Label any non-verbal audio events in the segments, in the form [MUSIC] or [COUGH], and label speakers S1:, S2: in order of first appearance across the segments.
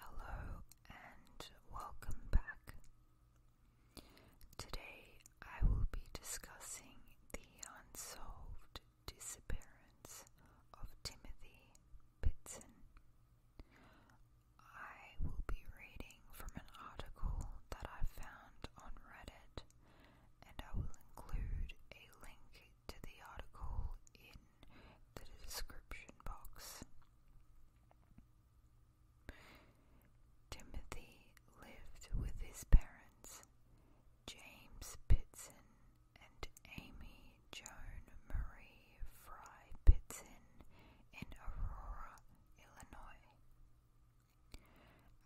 S1: Hello and welcome back. Today I will be discussing the unsolved disappearance of Timothy Pitson. I will be reading from an article that I found on Reddit, and I will include a link to the article in the description box. Timothy lived with his parents, James Pitson and Amy Joan Marie Fry Pitson, in Aurora, Illinois.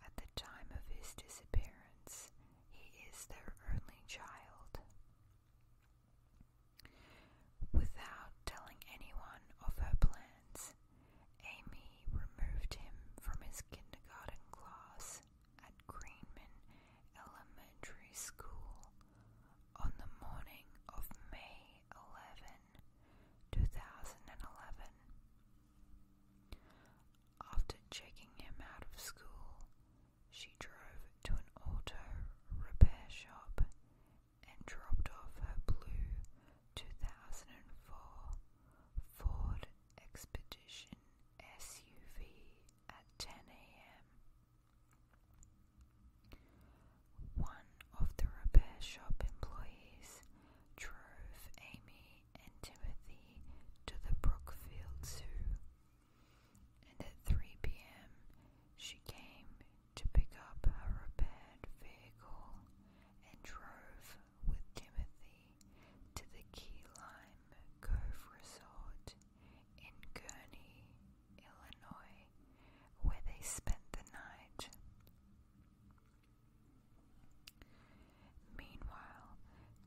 S1: At the time of his disappearance, he is their only child. Without telling anyone of her plans, Amy removed him from his kindergarten class at Greenman Elementary School on the morning of May 11, 2011. After checking him out of school, she drove to an auto repair shop and dropped off her blue 2004 Ford Expedition SUV at 10 a.m. One of the repair shop employees drove Amy and Timothy to the Brookfield Zoo and at 3 p.m. she came to pick up her repaired vehicle and drove with Timothy to the Key Lime Cove Resort in Gurnee, Illinois, where they spent the night. Meanwhile,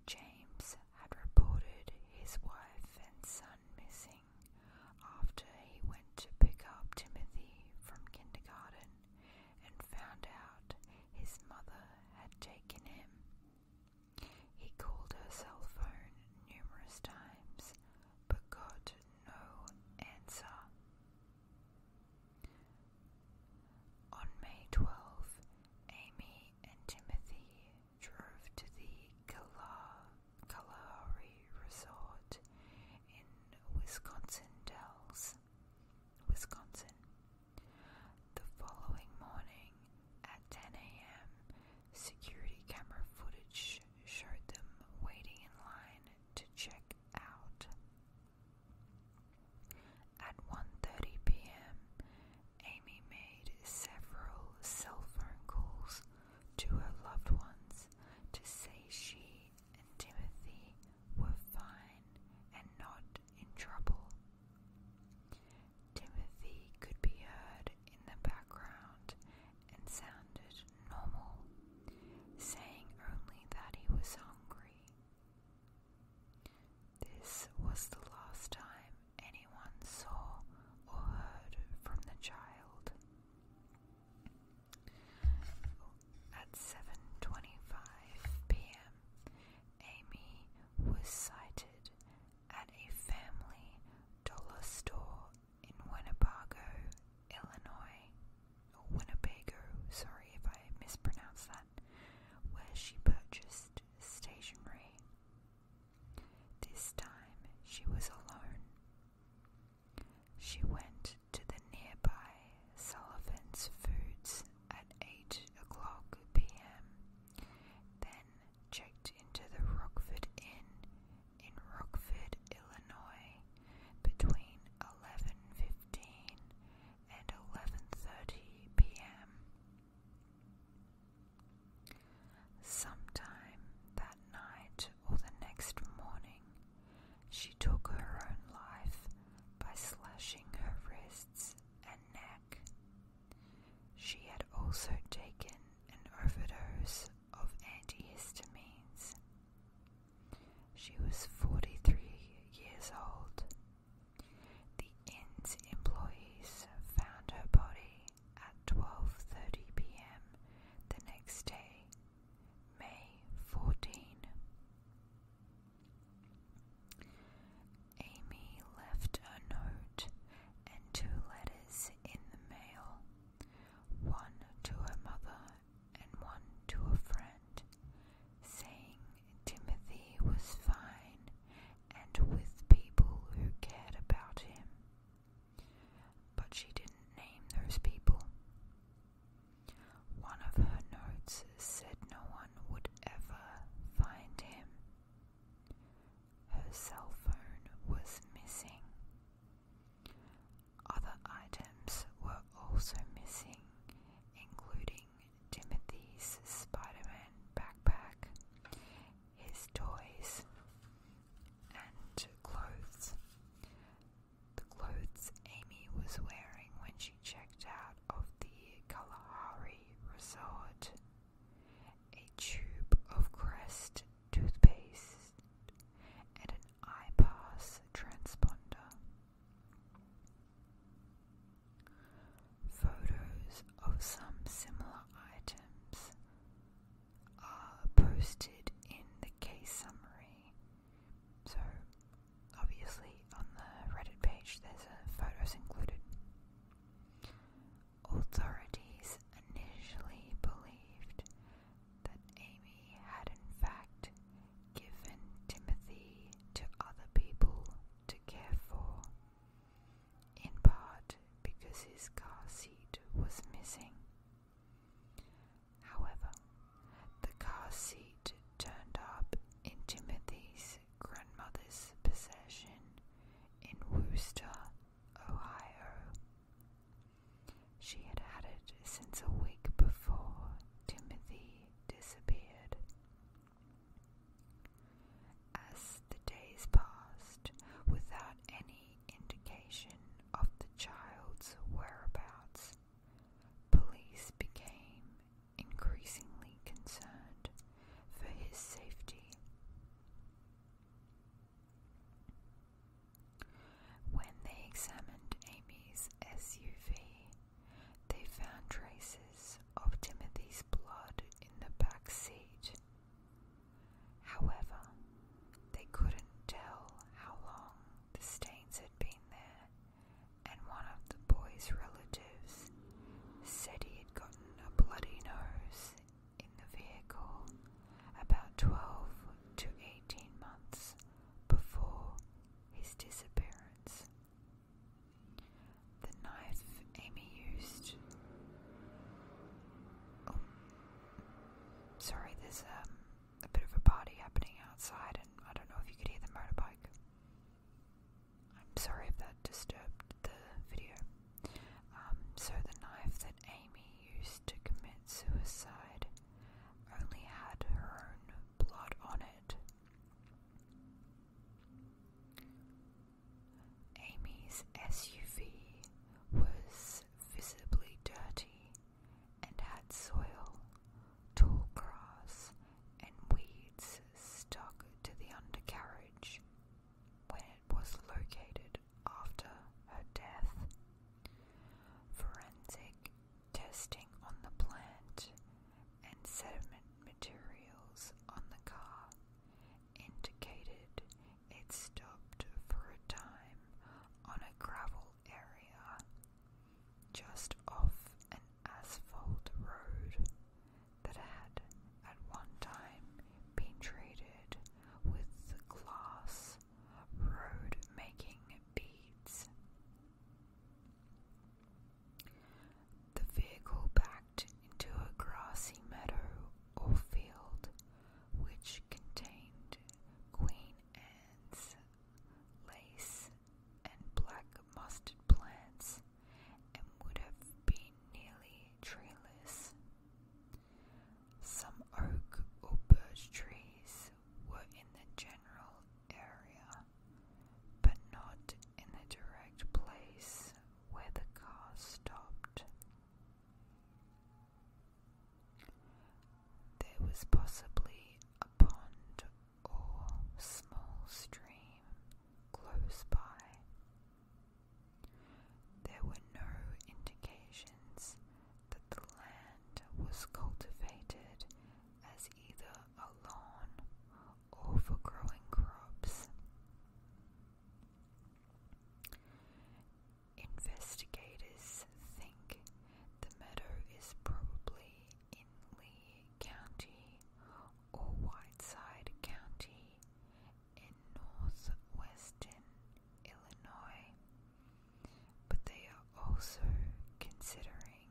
S1: James had reported his wife and son missing after he went to pick up Timothy from kindergarten and found out his mother had taken him. He called her cell phone numerous times but got no answer. On May 12, Amy and Timothy drove to the Kalahari Resort in Wisconsin Dells, Wisconsin. The following morning at 10 a.m., security camera footage showed them waiting in line to check out. At 1:30 p.m., Amy made several cell phone calls to her loved ones to say she and Timothy were fine and not in trouble. Timothy could be heard in the background and sounded normal, saying only that he was hungry. This was the last time anyone saw or heard from the child. At 7:25 p.m., Amy was sighted at a family dollar store in Winnebago, Illinois. Winnebago, sorry if I mispronounced that where she purchased stationery. This time she was alone. She went to the nearby Sullivan's Foods at 8 o'clock p.m., then checked into the Rockford Inn in Rockford, Illinois between 11.15 and 11.30 p.m. Sometime that night or the next morning, she took her own life by slashing her wrists and neck. She had also taken an overdose of antihistamines. She was 43 years old the inn's employees found her body at 12:30 p.m. the next day, May 14. Amy left a note and two letters in the mail, one to her mother and one to a friend, saying Timothy was fine and with people who cared about him. But she didn't name those people. One of her notes said no one would ever find him. Her cell phone was missing. Other items were also missing, including Timothy's Spider-Man backpack, his toys and clothes. The clothes Amy was wearing when she checked out of the Kalahari Resort. A tube of Crest toothpaste and an iPass transponder. Photos of some similar items are posted in the case summary. So, obviously, on the Reddit page, there's a photos included. Authorities initially believed that Amy had, in fact, given Timothy to other people to care for, in part because his car seat was missing. However, the car seat turned up in Timothy's grandmother's possession in Wooster, Ohio. She had had it since a week before Timothy disappeared. As the days passed without any indication of the child's whereabouts, police became increasingly concerned for his safety. When they examined Amy's SUV, they found traces of Timothy's blood in the back seat. However, they couldn't tell how long the stains had been there, and one of the boy's relatives said he had gotten a bloody nose in the vehicle about 12 to 18 months before his disappearance. The knife Amy used. Oh, sorry, there's um, a bit of a party happening outside, and I don't know if you could hear the motorbike. I'm sorry if that disturbed the video. Um, so, the knife that Amy used to commit suicide only had her own blood on it. Amy's SUV was visibly dirty and had soil, tall grass, and weeds stuck to the undercarriage when it was located after her death. Forensic testing on the plant, and sediment materials on the car indicated it stopped for a time on a gravel area just off an asphalt road that had at one time been treated with glass road making beads. The vehicle backed into a grassy meadow or field which contained Queen Anne's lace and black mustard plants and would have been nearly treeless. Some oak or birch trees were in the general area, but not in the direct place where the car stopped. There was possibly a pond or small stream close by. There were no indications that the land was cultivated as either a lawn or for growing crops. Investigators think the meadow is probably in Lee County or Whiteside County in northwestern Illinois but they are also considering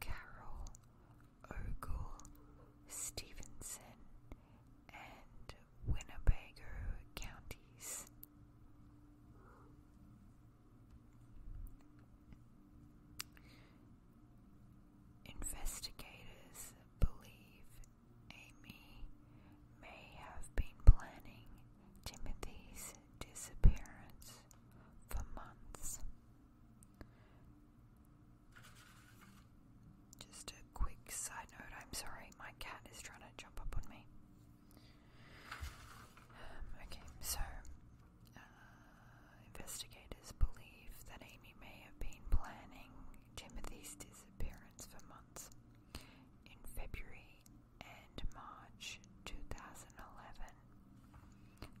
S1: Carol, Ogle, Stevenson, and Winnebago counties. Investigators believe Amy may have been planning Timothy's disappearance for months. Just a quick side note I'm sorry, my cat is trying to jump up on me. Um, okay, so uh, investigators believe that Amy may have been planning Timothy's disappearance for months. In February and March 2011,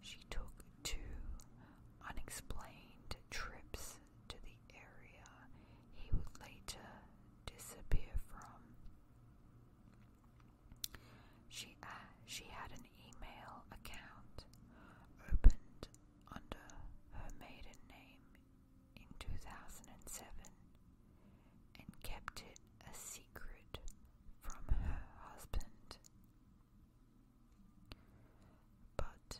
S1: she took two unexplained trips to the area he would later disappear from. She, uh, she had an email account opened under her maiden name in 2007 and kept it a secret from her husband. But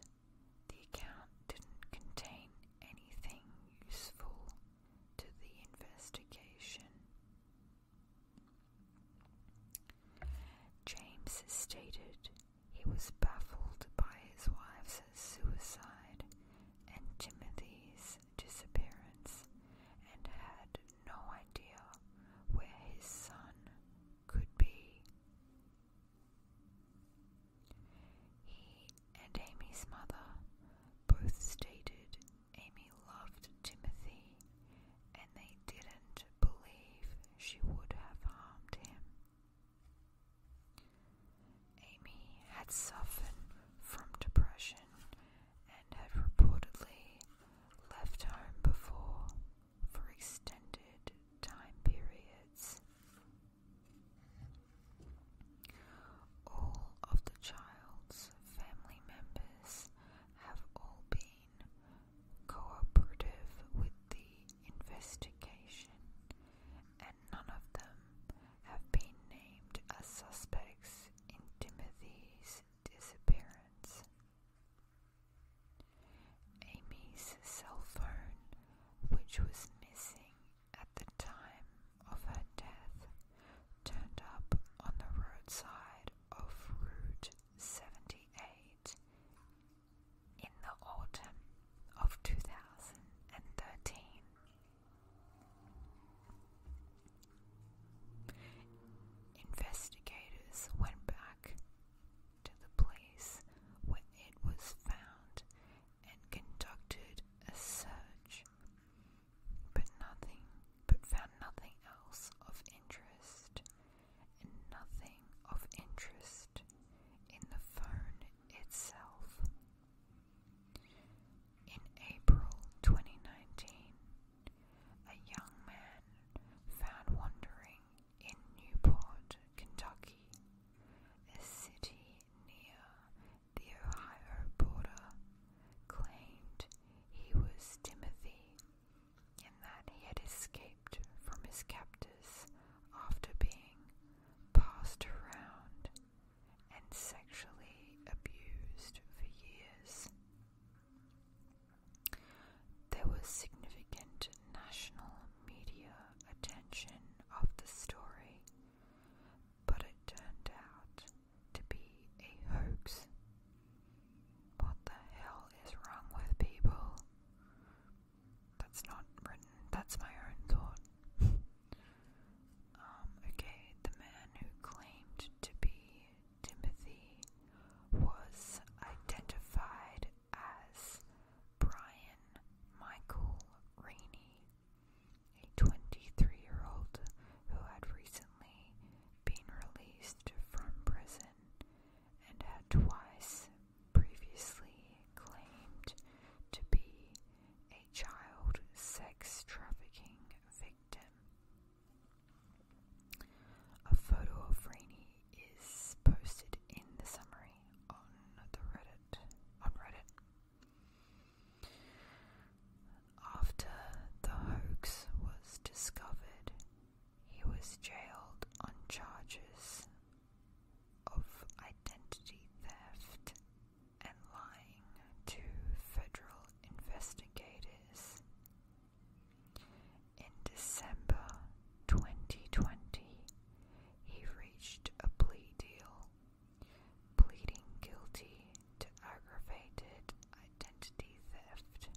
S1: the account didn't contain anything useful to the investigation. James stated he was baffled by his wife's suicide and Timothy's disappearance and had no idea where his son could be. He and Amy's mother both stated Amy loved Timothy and they didn't believe she would have harmed him. Amy had suffered from depression and had reportedly left home before for extended time periods. All of the child's family members have all been cooperative with the investigation none of them have been named as suspects in Timothy's disappearance. Amy's cell phone, which was missing at the time of her death, turned up on the roadside of Route 78 in the autumn of 2013. Investigators went back to the place where it was found and conducted a search, but nothing but found nothing else of interest and nothing of interest in the phone itself. In April 2019, a young man found wandering in Newport, Kentucky, a city near the Ohio border, claimed he was Timothy and that he had escaped from his captors after being passed around and sexually abused for years. There was significant national media attention of the story, but it turned out to be a hoax. What the hell is wrong with people? That's not written, that's my own thought. [LAUGHS] Um, okay, the man who claimed to be Timothy was identified as Brian Michael Rainey, a 23 year old who had recently been released from prison and had twice previously claimed to be child sex trafficking victim. A photo of Rainey is posted in the summary on the Reddit on Reddit. After the hoax was discovered, he was jailed on charges of identity theft and lying to federal investigators. In December 2020, he reached a plea deal, pleading guilty to aggravated identity theft.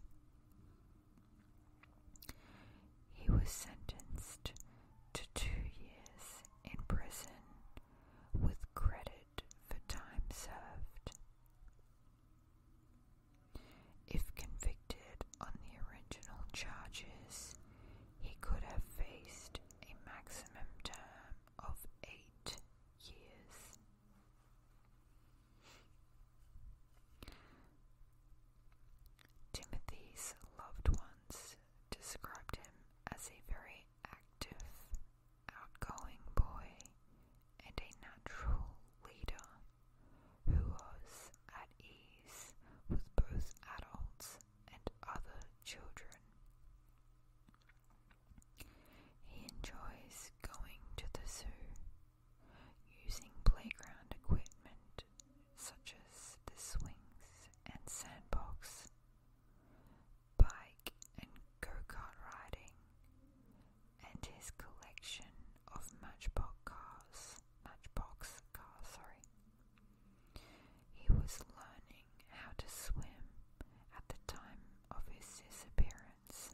S1: He was sentenced to two years in prison with credit for time served. If convicted on the original charges, he could have faced a maximum term of eight years. Timothy's loved ones described him as a very active, outgoing boy and a natural leader who was at ease with both adults and other children. He enjoys going to the zoo, using playground equipment such as the swings and sandbox, bike and go kart riding, and his collection of matchbox cars. Matchbox cars, sorry. He was learning how to swim at the time of his disappearance.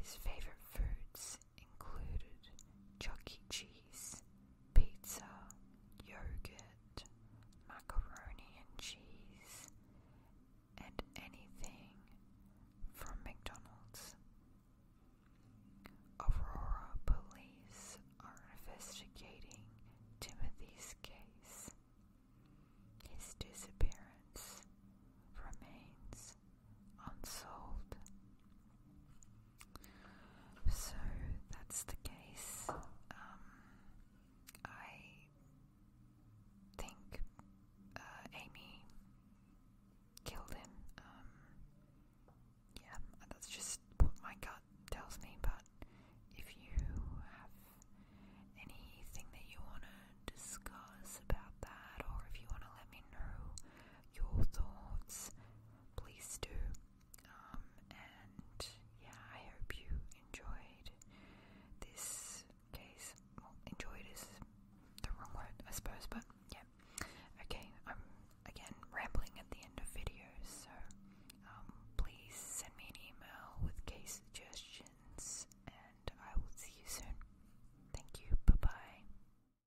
S1: His favorite foods included Chuck Cheese, pizza, yogurt, macaroni and cheese, and anything from McDonald's. Aurora police are investigating Timothy's case. His disappearance remains unsolved. So that's the case. Um, I think uh, Amy killed him. Um, yeah, that's just what my gut tells me. But if you have anything that you want to discuss about that, or if you want to let me know your thoughts, please do. Um, and yeah, I hope you enjoyed this case. enjoyed is the wrong word, I suppose, but yeah. Okay, I'm again rambling at the end of videos, so um, please send me an email with case suggestions, and I will see you soon. Thank you, bye bye.